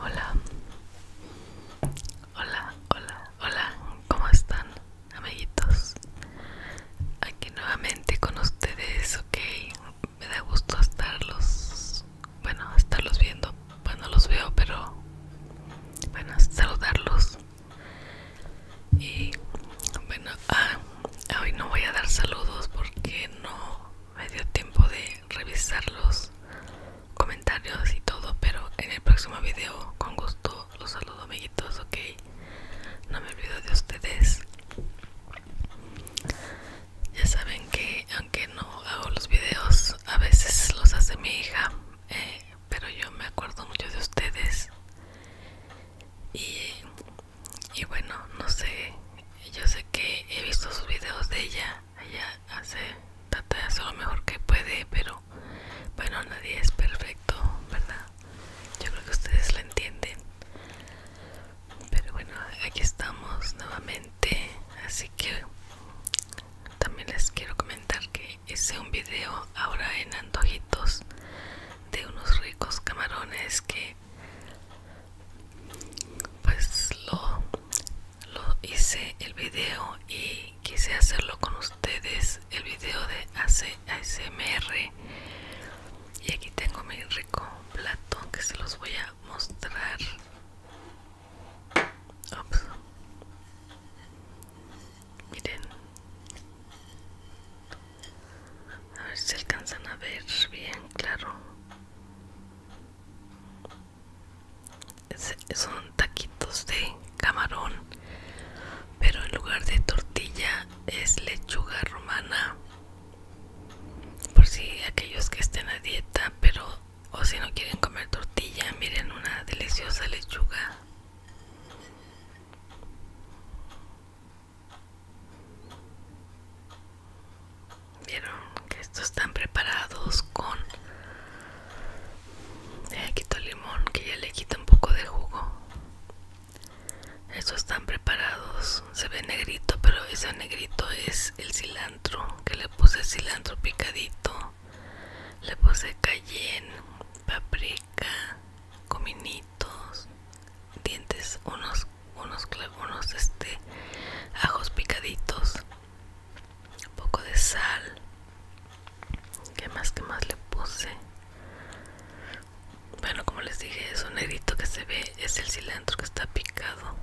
Hola, hola, hola, hola, ¿cómo están amiguitos? Aquí nuevamente con ustedes, ok, me da gusto estarlos, bueno, estarlos viendo, bueno los veo, pero bueno, saludarlos. Y bueno, ah, Hoy no voy a dar saludos porque no me dio tiempo de revisar los comentarios y todo, pero en el próximo video con gusto los saludo amiguitos, ok. No me olvido de ustedes. Ya saben que aunque no hago los videos, a veces los hace mi hija, eh, pero yo me acuerdo mucho de ustedes. Y y bueno no sé yo sé que he visto sus videos de ella ella hace trata de hacer lo mejor que puede pero bueno nadie es perfecto verdad yo creo que ustedes la entienden pero bueno aquí estamos nuevamente así que también les quiero comentar que hice un video ahora en antojitos de unos ricos camarones que pues lo, hice el video y quise hacerlo con ustedes el video de ASMR y aquí tengo mi rico plato que se los voy a mostrar miren a ver si alcanzan a ver bien claro son taquitos de camarón pero en lugar de tortilla es lechuga romana por si aquellos que estén a dieta pero o si no quieren comer tortilla miren una deliciosa lechuga Vieron que estos están preparados con le quito limón que ya le quita un poco de jugo. Estos están preparados, se ve negrito, pero ese negrito es el cilantro, que le puse cilantro picadito, le puse cayenne, paprika, cominito dientes, unos, unos, unos este, ajos picaditos, un poco de sal. ¿Qué más, qué más le puse? Bueno, como les dije, eso negrito que se ve es el cilantro que está picado.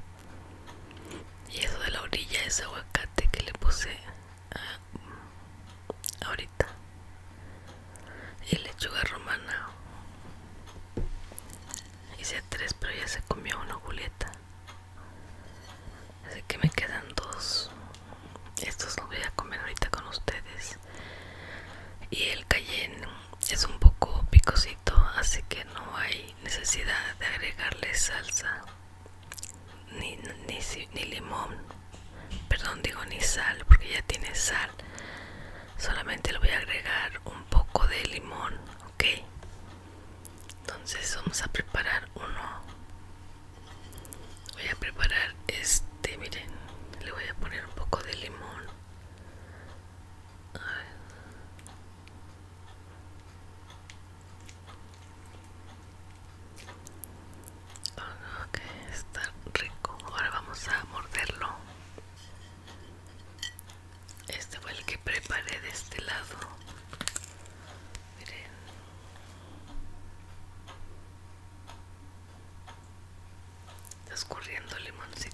Y eso de la orilla es aguacate que le puse ahorita y lechuga romana. Hice tres, pero ya se comió una Julieta. Así que me quedan dos. Estos los voy a comer ahorita con ustedes. Y el cayenne es un poco picosito, así que no hay necesidad de agregarle salsa ni, ni, ni limón perdón digo ni sal porque ya tiene sal solamente le voy a agregar un poco de limón ok entonces vamos a preparar uno voy a preparar este miren le voy a poner un poco de limón está rico. Ahora vamos a morderlo. Este fue el que preparé de este lado. Miren. Está escurriendo el limoncito.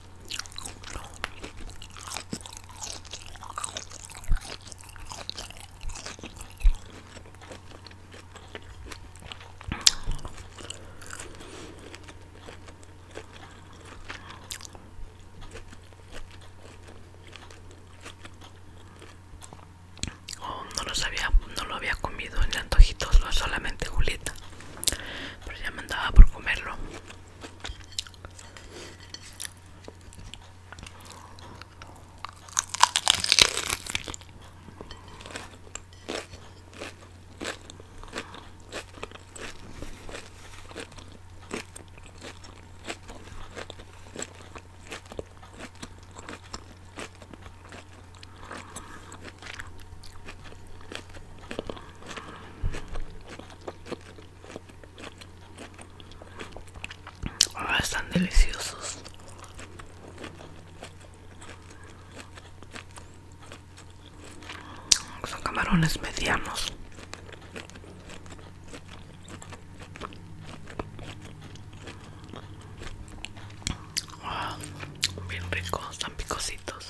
Oh, no lo sabía, no lo había comido en antojitos, no solamente Julieta pero ya me andaba por comerlo Ah, están deliciosos. Son camarones medianos. Ah, bien ricos, tan picositos.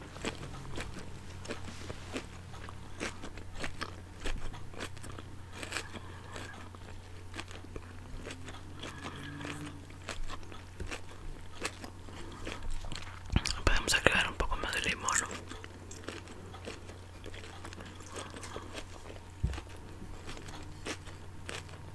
Podemos agregar un poco más de limón.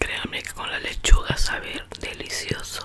Créanme que con la lechuga sabe delicioso.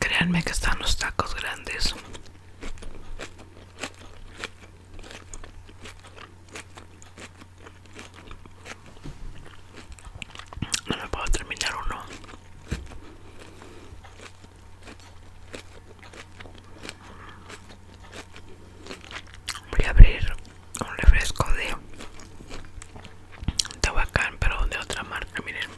Créanme que están los tacos grandes. No me puedo terminar uno. Voy a abrir un refresco de Tabacán, pero de otra marca, miren.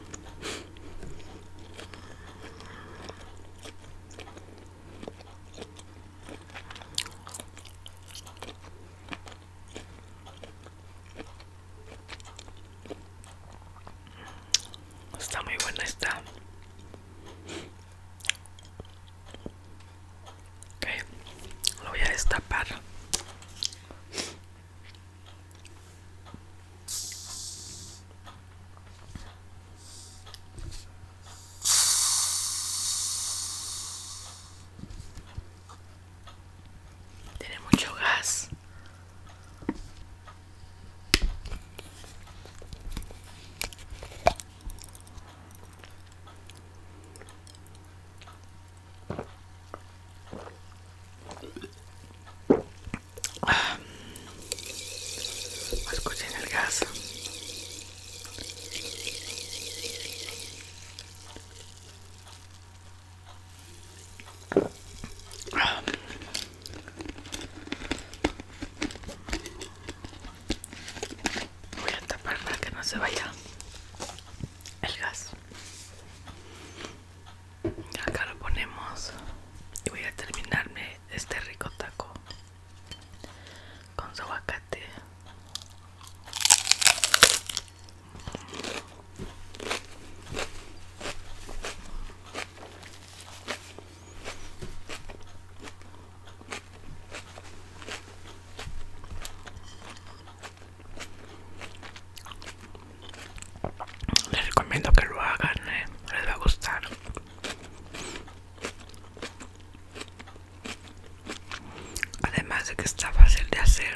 Está muy buena esta. Ok, lo voy a destapar. Tiene mucho gas. Escuchen el gas. Voy a tapar para que no se vaya el gas. Acá lo ponemos y voy a terminarme este rico taco con su aguacate. Les recomiendo que lo hagan, eh. les va a gustar. Además de que está fácil de hacer,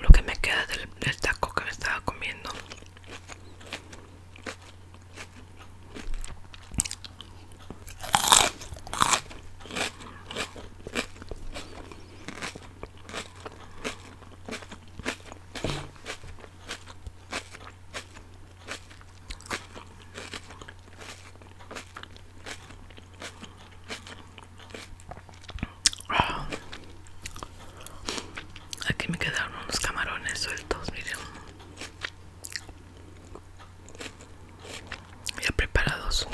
Lo que me queda del, taco que me estaba comiendo. Aquí me quedaron unos camarones sueltos, miren ya preparados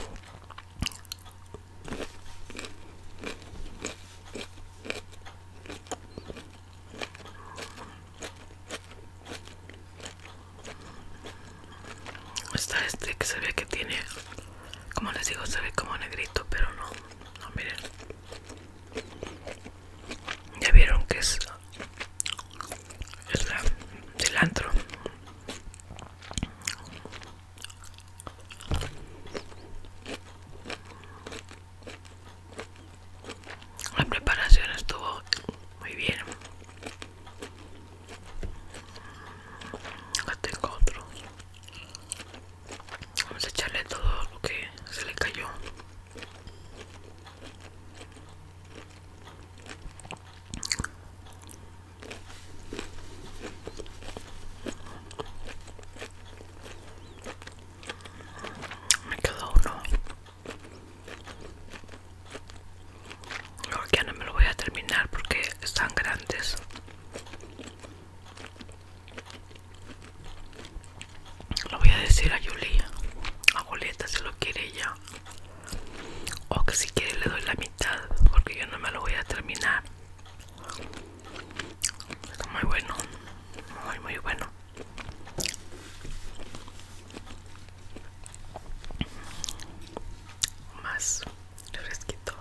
está este que se ve que tiene como les digo se ve como negrito pero no no miren ya vieron que es es la la preparación estuvo muy bien acá tengo otro vamos a echarle todo lo que se le cayó me quedó uno. ya no me lo voy a terminar porque están grandes. Lo voy a decir a Julia, a Julieta si lo quiere ella o que si quiere le doy la mitad porque yo no me lo voy a terminar muy bueno muy muy bueno más refresquito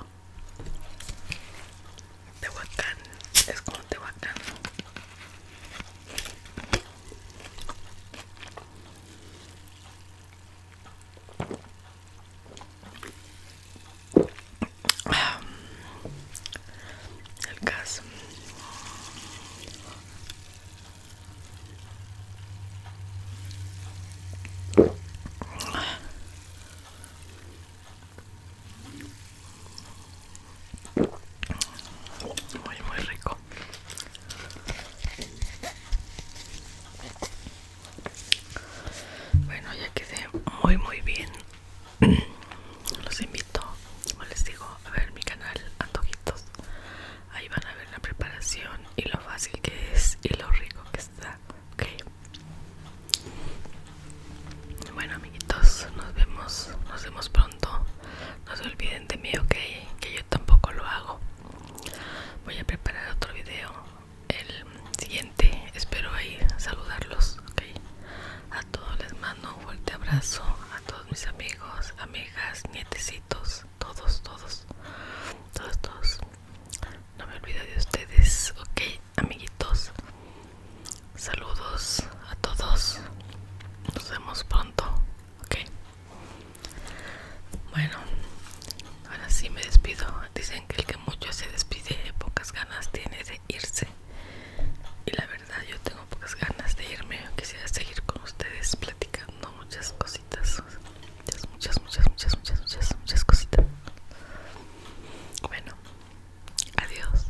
can es como te can el caso. Muy, muy rico. Bueno, ya quedé muy muy bien. Los invito, como les digo, a ver mi canal Antojitos. Ahí van a ver la preparación y lo fácil que es y lo rico que está. Ok. Bueno amiguitos, nos vemos, nos vemos pronto no se olviden de mí ok que yo tampoco lo hago voy a preparar otro video el siguiente espero ahí saludarlos ok a todos les mando un fuerte abrazo a todos mis amigos amigas nietecitos todos todos todos todos no me olvido de ustedes ok amiguitos saludos a todos nos vemos pronto ok bueno ahora sí me despido dicen que el que mucho se despide pocas ganas tiene de irse y la verdad yo tengo pocas ganas de irme quisiera seguir con ustedes platicando muchas cositas muchas muchas muchas muchas muchas muchas muchas cositas bueno adiós